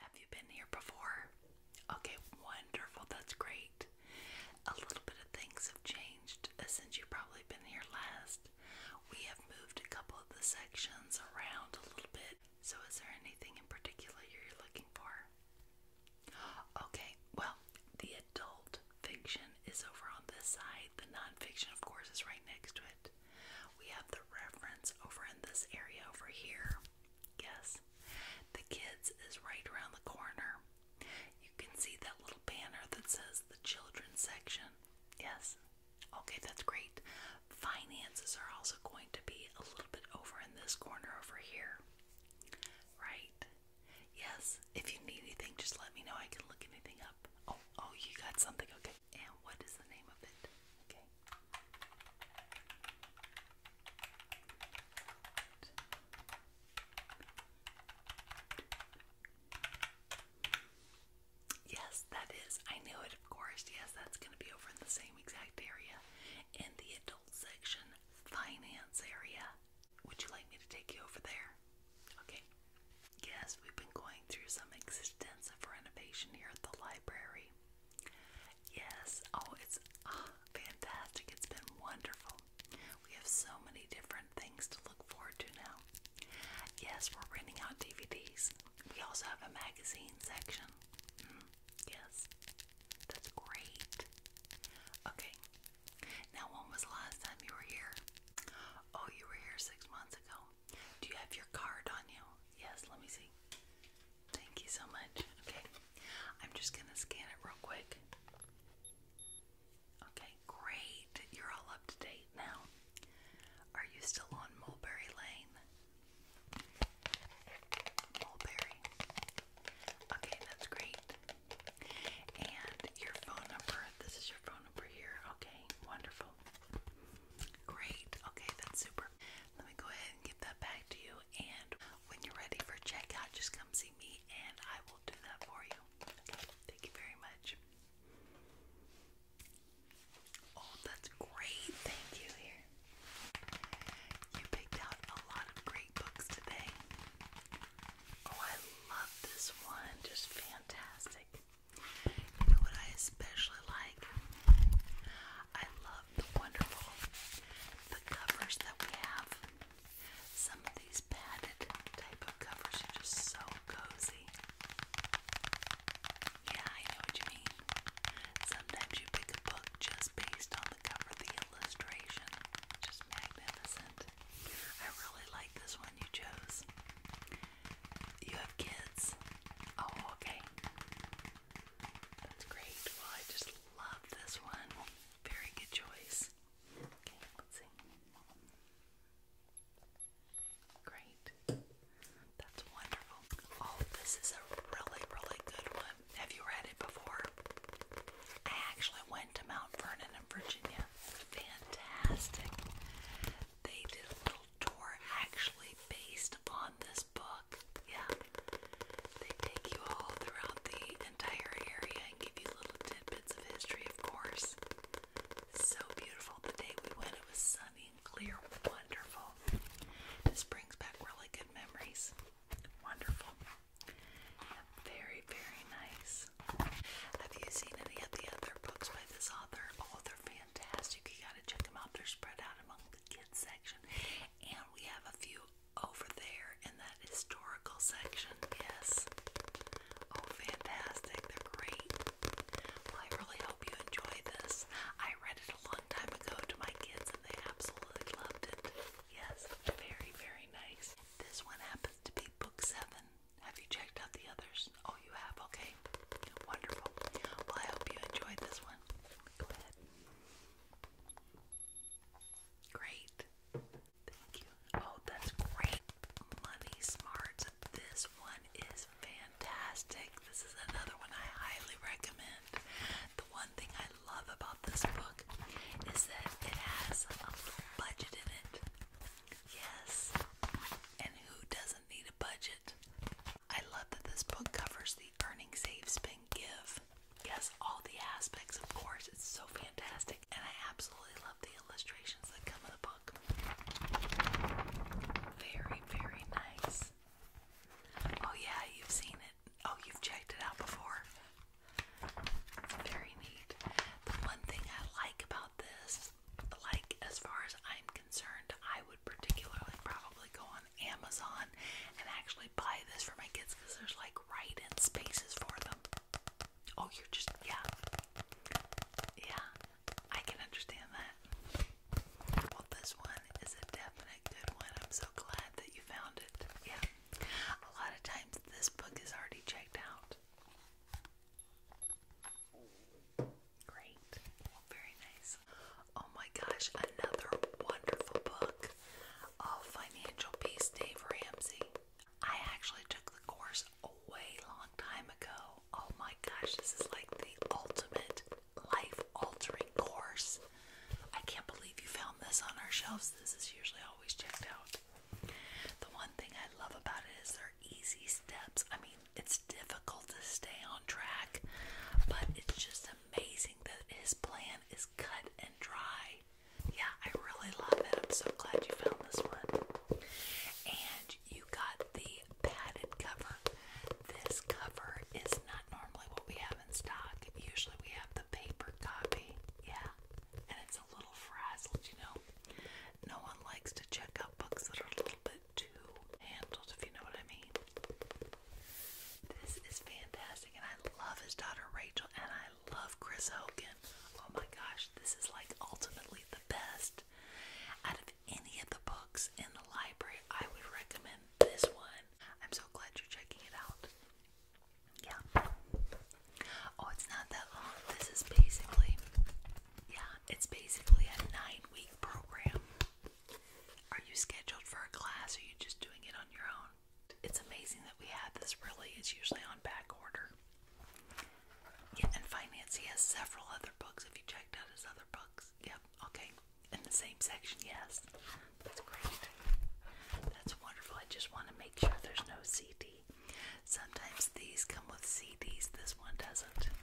Have you been here before? Okay, wonderful. That's great. A little bit of things have changed uh, since you probably been here last. We have moved a couple of the sections around a little bit. So, is there anything in particular you're looking for? Okay, well, the adult fiction is over on this side side. The nonfiction, of course, is right next to it. We have the reference over in this area over here. Yes, the kids is right around the corner. You can see that little banner that says the children's section. Yes, okay, that's great. Finances are also going to be a little bit over in this corner over here. Right? Yes, if you need anything, just let me know. I can look anything up. Oh, oh, you got something. Okay. And what is the name of it? Okay. Yes, that is. I knew it, of course. Yes, that's going to be over in the same exact area in the adult section, finance area. Would you like me to take you over there? Okay. Yes, we've been going through some extensive renovation here at the library. Yes, oh, it's ah, fantastic. It's been wonderful. We have so many different things to look forward to now. Yes, we're renting out DVDs. We also have a magazine section. Mm-hmm. yes, that's great. Okay, now when was the last time you were here? Oh, you were here six months ago. Do you have your card on you? Yes, let me see. Thank you so much. Okay, I'm just gonna scan it real quick. Okay, great. You're all up to date now. Are you still on Mulberry Lane? Mulberry. Okay, that's great. And your phone number. This is your phone over here. Okay, wonderful. Great. Okay, that's super. Let me go ahead and get that back to you. And when you're ready for checkout, just come see me and I will do that for you. thank you very much. Oh, that's great. Thank you here. You picked out a lot of great books today. Oh, I love this one. Just fantastic. You know what I especially like? I love the wonderful the covers that we have. Some of these padded type of covers are just so cozy. Yeah, I know what you mean. Sometimes you pick a book just based on the cover, the illustration. Just magnificent. I really like this one you chose. You have kids? Oh, okay. That's great. Well, I just love this one. Very good choice. Okay, let's see. Great. That's wonderful. Oh, this is a really, really good one. Have you read it before? I actually went to Mount Vernon in Virginia fantastic. They did a little tour actually based upon this book. Yeah. They take you all throughout the entire area and give you little tidbits of history, of course. So beautiful. The day we went, it was sunny and clear. Wonderful. This brings back really good memories. Wonderful. Very, very nice. Have you seen any of the other books by this author? Oh, they're fantastic. You gotta check them out. They're spread out among the kids section. And we have a few over there in that historical section. Yes. Oh, fantastic. They're great. Well, I really hope you enjoy this. I read it a long time ago to my kids and they absolutely loved it. Yes, very, very nice. This one happens to be book seven. Have you checked out the others? Oh, you have? Okay. Wonderful. Well, I hope you enjoyed this one. Go ahead. Great. Thank you. Oh, that's great. Money Smarts. This one is fantastic. This is another one I highly recommend. The one thing I love about this book is that it has a little budget in it. Yes. And who doesn't need a budget? I love that this book covers the earning, save, spend, give. Yes, all the aspects, of course. It's so fantastic. And I absolutely love the illustrations that come in the book. Very, very nice. Oh, yeah, you've seen it. Oh, you've checked it out before. Very neat. The one thing I like about about this. Like, as far as I'm concerned, I would particularly probably go on Amazon and actually buy this for my kids because there's like right in spaces for them. Oh, you're just, yeah. Yeah, I can understand that. Well, this one is a definite good one. I'm so glad that you found it. Yeah. A lot of times this book is already checked out. Great. Very nice. Oh my gosh, another wonderful book of Financial Peace, Dave Ramsey. I actually took the course a way long time ago. Oh my gosh, this is like the ultimate life altering course. I can't believe you found this on our shelves. This is usually always checked out. The one thing I love about it is they're easy steps. I mean, it's difficult to stay on track, but it's just amazing that his plan is cut and dry. Yeah, I really love it. I'm so glad you found this one. And you got the padded cover. This cover is not normally what we have in stock. Usually we have the paper copy. Yeah. And it's a little frazzled, you know. No one likes to check out books that are a little bit too handled, if you know what I mean. This is fantastic, and I love his daughter Rachel, and I love Chris Hogan. Oh my gosh, this is like ultimately the best. Out of any of the books in the library, I would recommend this one. I'm so glad you're checking it out. Yeah. Oh, it's not that long. This is basically, yeah, it's basically a nine week program. Are you scheduled for a class are you just doing it on your own? It's amazing that we have this, really. It's usually on back order. Yeah, and finance, he has several other books. If you checked out his other books, yep, okay. In the same section, yes. That's great. That's wonderful. I just want to make sure there's no CD Sometimes these come with CDs, this one doesn't.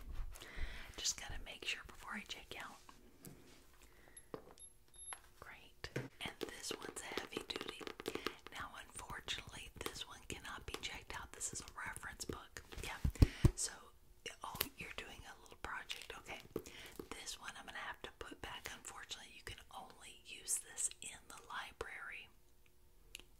Just gotta make sure before I check out. Great. And this one's heavy duty. Now, unfortunately, this one cannot be checked out. This is a reference book. Yeah. So, oh, you're doing a little project. Okay. This one I'm gonna have to put back. Unfortunately, you can only use this in the library.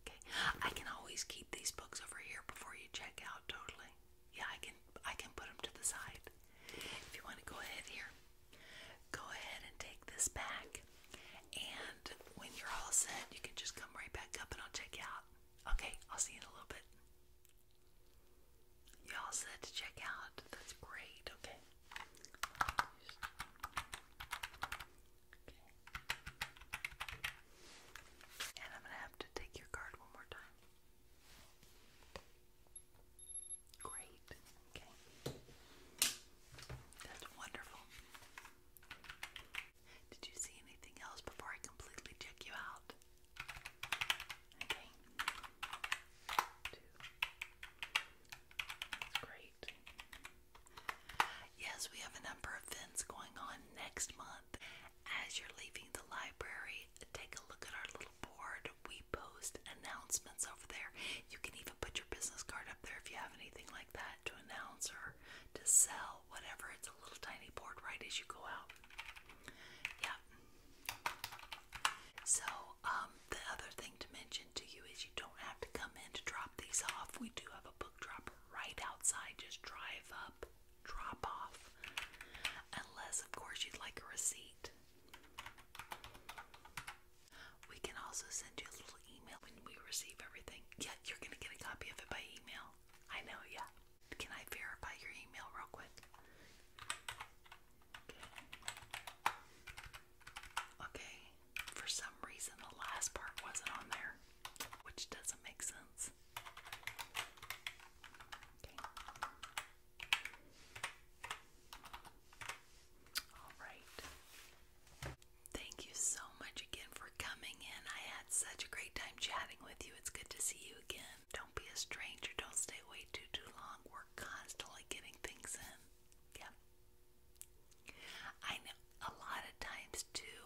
Okay. I can always keep these books over here before you check out totally. Yeah, I can I can put them to the side. If you want to go ahead here. Go ahead and take this back. And when you're all set, you can just come right back up and I'll check you out. Okay, I'll see you in a little bit. You all set to check out? That's great. Okay. And I'm going to have to take your card one more time. Great. Okay. That's wonderful. Did you see anything else before I completely check you out? Okay. great. Yes, we have a number of events going on next month. As you're leaving the library, take a look at our little board. We post announcements over there. You can even put your business card up there if you have anything like that to announce or to sell, whatever. It's a little tiny board right as you go out. Yeah. So, um, the other thing to mention to you is you don't have to come in to drop these off. We do have a book drop right outside. Just drive up, drop off. Unless, of course, you'd like a receipt. We can also send you a little email when we receive everything. Yeah, you're going to get a copy of it by email. I know, yeah. Can I verify your email real quick? Okay. Okay. For some reason, the last part wasn't on there, which doesn't make sense. All right. Thank you so much again for coming in. I had such a great time chatting with you. It's good to see you again. Don't be a stranger. Don't stay away too too long. We're constantly getting things in. Yeah. I know a lot of times too,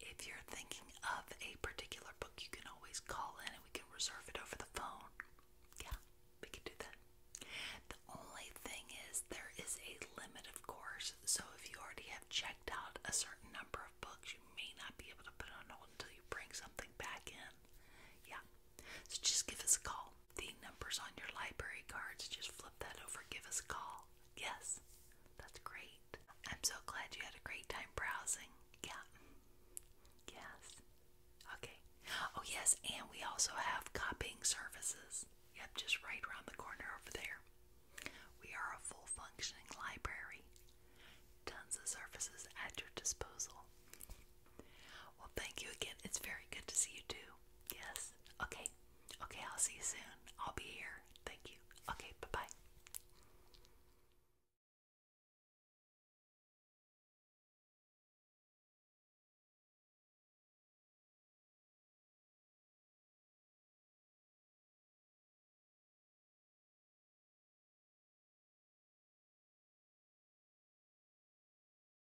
if you're thinking of a particular book, you can always call in and we can reserve it over the phone. Yeah, we can do that. The only thing is there is a limit, of course, so if you already have checked out a certain number of books, you may not be able to put on hold until you bring something back in. Yeah. So just give us a call the numbers on your library cards. Just flip that over, give us a call. Yes, that's great. I'm so glad you had a great time browsing. Yeah. Yes. Okay. Oh, yes, and we also have copying services. Yep, just right around the corner over there. We are a full functioning library. Tons of services at your disposal. Well, thank you again. It's very good to see you too. Yes. Okay. Okay, I'll see you soon. I'll be here. Thank you. Okay, bye bye.